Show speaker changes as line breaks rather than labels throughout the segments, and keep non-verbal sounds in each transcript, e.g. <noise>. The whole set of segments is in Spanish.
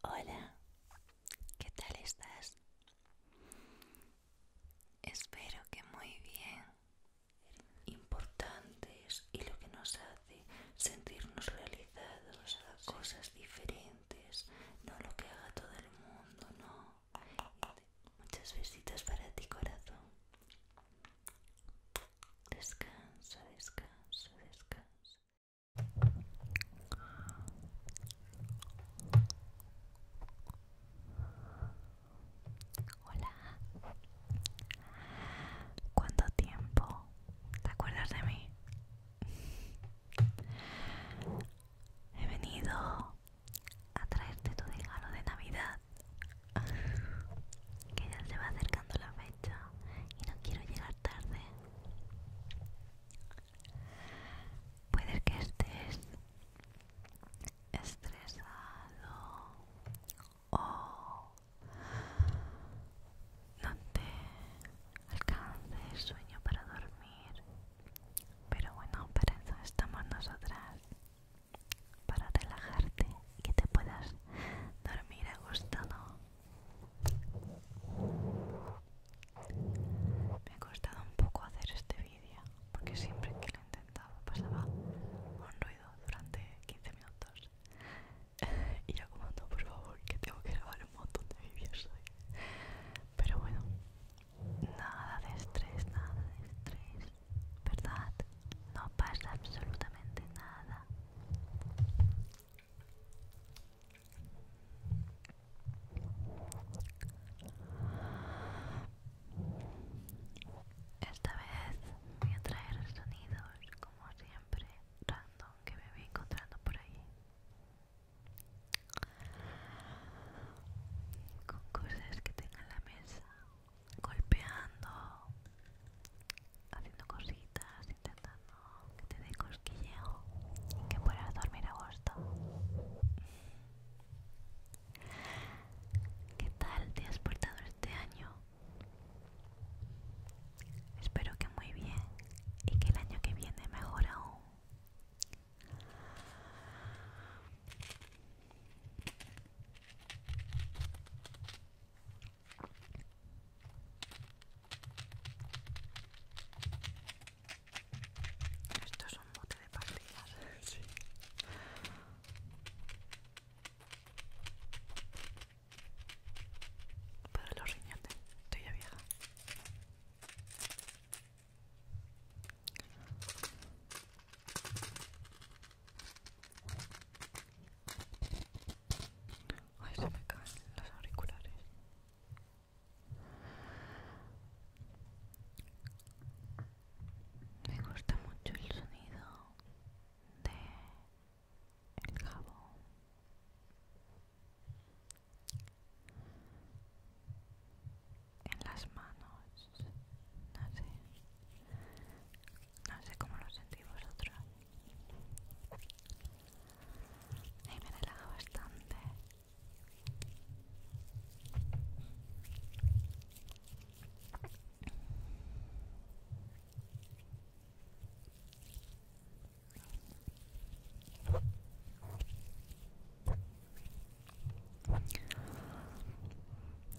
Hola, ¿qué tal estás? Espero que muy bien. Importantes y lo que nos hace sentirnos realizados, cosas diferentes, no lo que haga todo el mundo, no. Muchas besitas para ti, corazón. Descansa, descansa, descansa. Hola. ¿Cuánto tiempo? ¿Te acuerdas de mí? He venido a traerte tu regalo de Navidad que ya se va acercando la fecha y no quiero llegar tarde. Puede que estés estresado o no te alcance el sueño para dormir. Pero bueno, para eso estamos nosotras para relajarte y que te puedas dormir a gusto, Me ha costado un poco hacer este vídeo porque siempre que lo intentaba pasaba un ruido durante 15 minutos <laughs> y lo como por favor, que tengo que grabar un montón de vídeos hoy pero bueno, nada de estrés, nada de estrés ¿verdad? No pasa absolutamente nada. Esta vez voy a traer sonidos, como siempre, random que me voy encontrando por ahí. Con cosas que tenga en la mesa golpeando, haciendo cositas, intentando que te dé cosquilleo y que puedas dormir a gusto. ¿Qué tal te has portado este año? Espero que muy bien y que el año que viene mejor aún. Esto es un bote de pastillas. Sí. Para los riñones, estoy ya vieja. Ay, se me caen los auriculares. Me gusta mucho el sonido de el cabo. En las manos no sé no sé cómo lo sentimos vosotros y me relaja bastante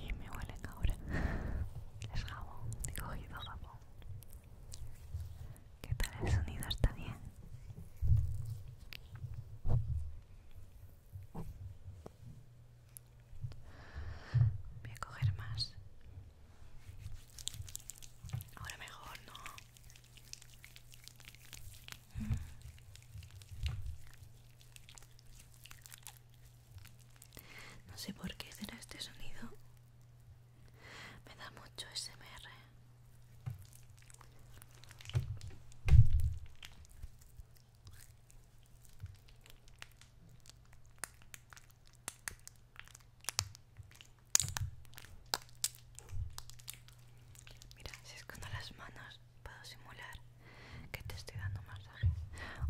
y me huelen ahora. <laughs> Es jabón, he cogido jabón. ¿Qué tal el sonido? ¿Está bien? Voy a coger más. Ahora mejor, ¿no? No sé por qué será este sonido. Me da mucho SMR. Mira, si escondo las manos puedo simular que te estoy dando masaje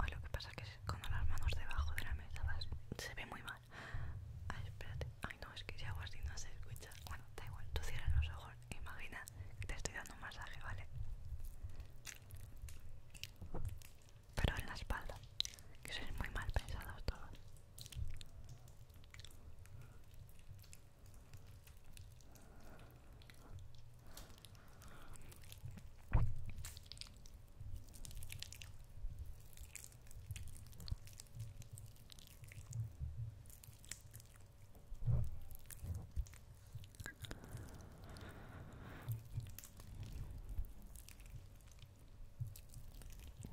Hoy lo que pasa es que cuando las manos debajo de la mesa se ve muy mal. Ay, espérate. Ay, no, es que si hago así no se escucha. Bueno, da igual, tú cierras los ojos. Imagina que te estoy dando masaje, ¿vale? Pero en la espalda, que sois muy mal pensados todos.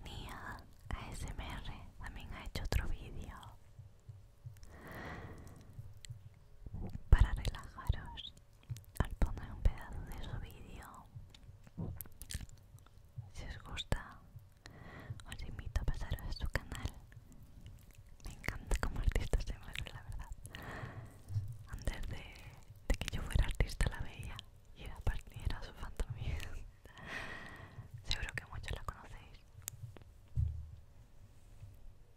Nia ASMR también ha hecho otro vídeo para relajaros al poner un pedazo de su vídeo si os gusta os invito a pasaros a su canal me encanta como artista se mueve la verdad antes de, que yo fuera artista la veía y era, partir su fan <laughs> seguro que muchos la conocéis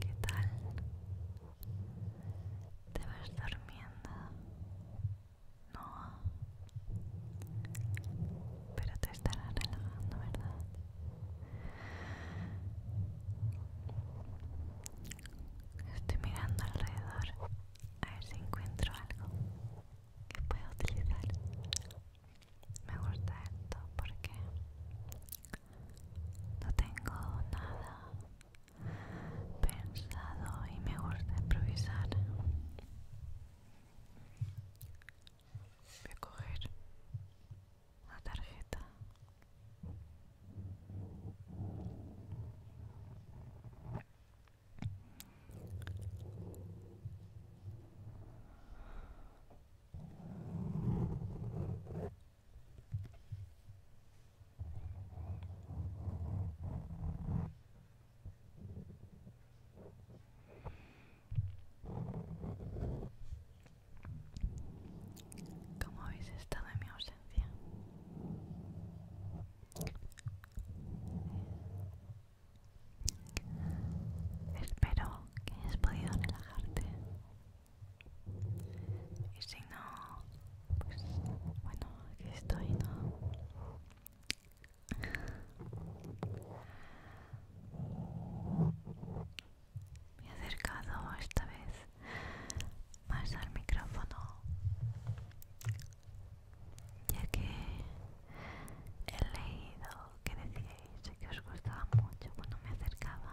¿Qué tal? ¿Te vas durmiendo? No. Pero te estarás relajando, ¿verdad? Estoy mirando alrededor a ver si encuentro algo que pueda utilizar. Me gusta esto porque no tengo nada pensado y me gusta improvisar. Voy a coger la tarjeta. ¿Cómo habéis estado en mi ausencia? Espero que hayas podido relajarte. Y si no, pues bueno, aquí estoy, ¿no? Me he acercado esta vez más al micrófono ya que he leído que decíais que os gustaba mucho cuando me acercaba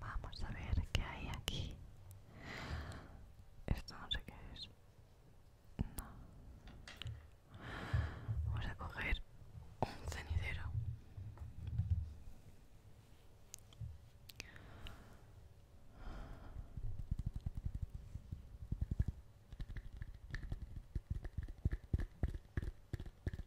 Vamos a ver qué hay aquí. Esto no sé qué es. No. Vamos a coger un cenicero.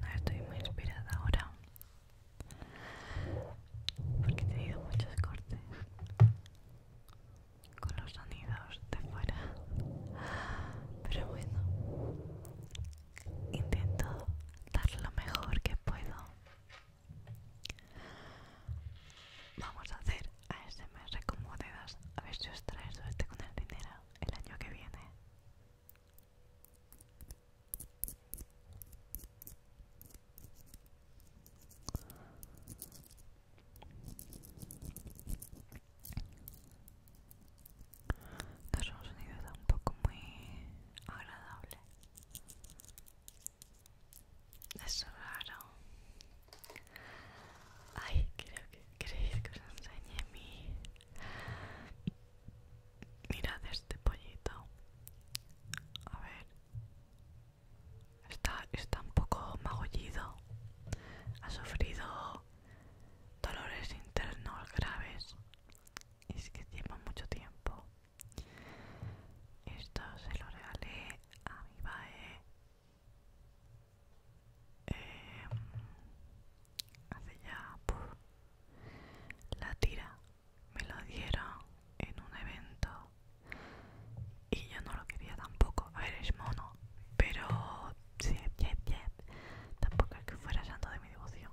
No estoy muy inspirada ahora porque he tenido muchos cortes con los sonidos de fuera pero bueno intento dar lo mejor que puedo. Vamos a hacer ASMR con monedas. A ver si os trae suerte con el dinero el año que viene. No un poco muy agradable. Es raro. Ay, creo que queréis que os enseñe mi... Mirad este pollito. A ver. Está, está un poco magullido. Ha sufrido dolores internos graves es que lleva mucho tiempo. Esto se lo regalé a mi bae em, hace ya la tira. Me lo dieron en un evento y yo no lo quería tampoco. A ver, es mono, pero sí, tampoco es que fuera santo de mi devoción.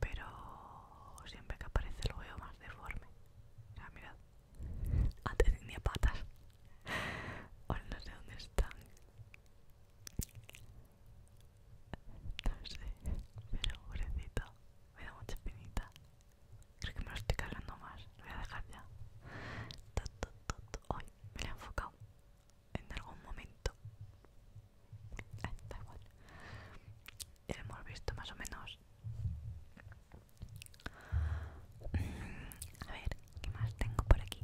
pero siempre que aparece lo veo más deforme. Ah, mirad, antes tenía patas. Ahora no sé dónde están. No sé, pero pobrecito, me da mucha pinita Creo que me lo estoy cargando más, lo voy a dejar ya. Hoy me lo he enfocado en algún momento. Ah, da igual hemos visto más o menos a ver qué más tengo por aquí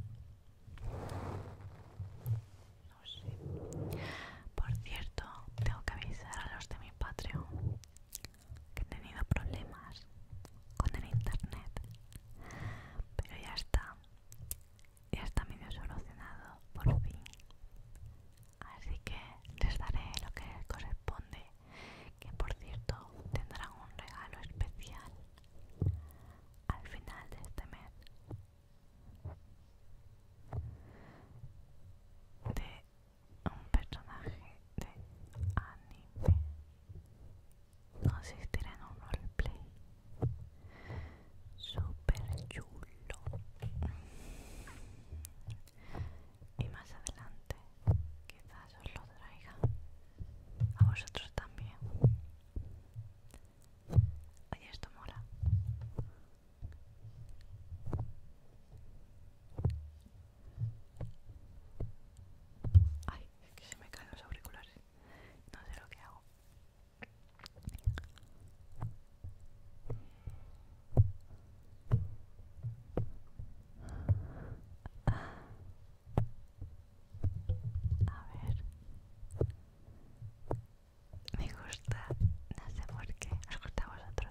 no sé por cierto tengo que avisar a los de mi Patreon que he tenido problemas con el internet pero ya está ya está medio solucionado por fin así que les daré lo que les corresponde que por cierto tendrán un regalo especial al final de este mes de un personaje de anime consistirá en un roleplay super chulo y más adelante quizás os lo traiga a vosotros también ay esto mola ay es que se me caen los auriculares no sé lo que hago A ver. Me gusta. No sé por qué. Os gusta a vosotros.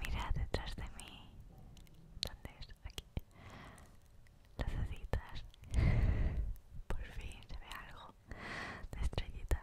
Mira detrás de mí. ¿Dónde es? Aquí. Las ositas. <laughs> Por fin se ve algo de estrellitas.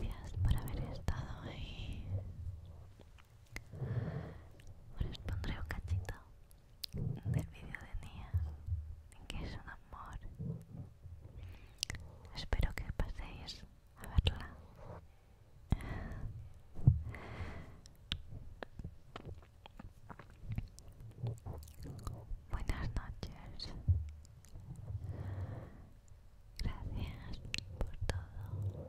Gracias por haber estado ahí. Ahora os pondré un cachito del vídeo de Nia, que es un amor. Espero que paséis a verla Buenas noches. Gracias por todo.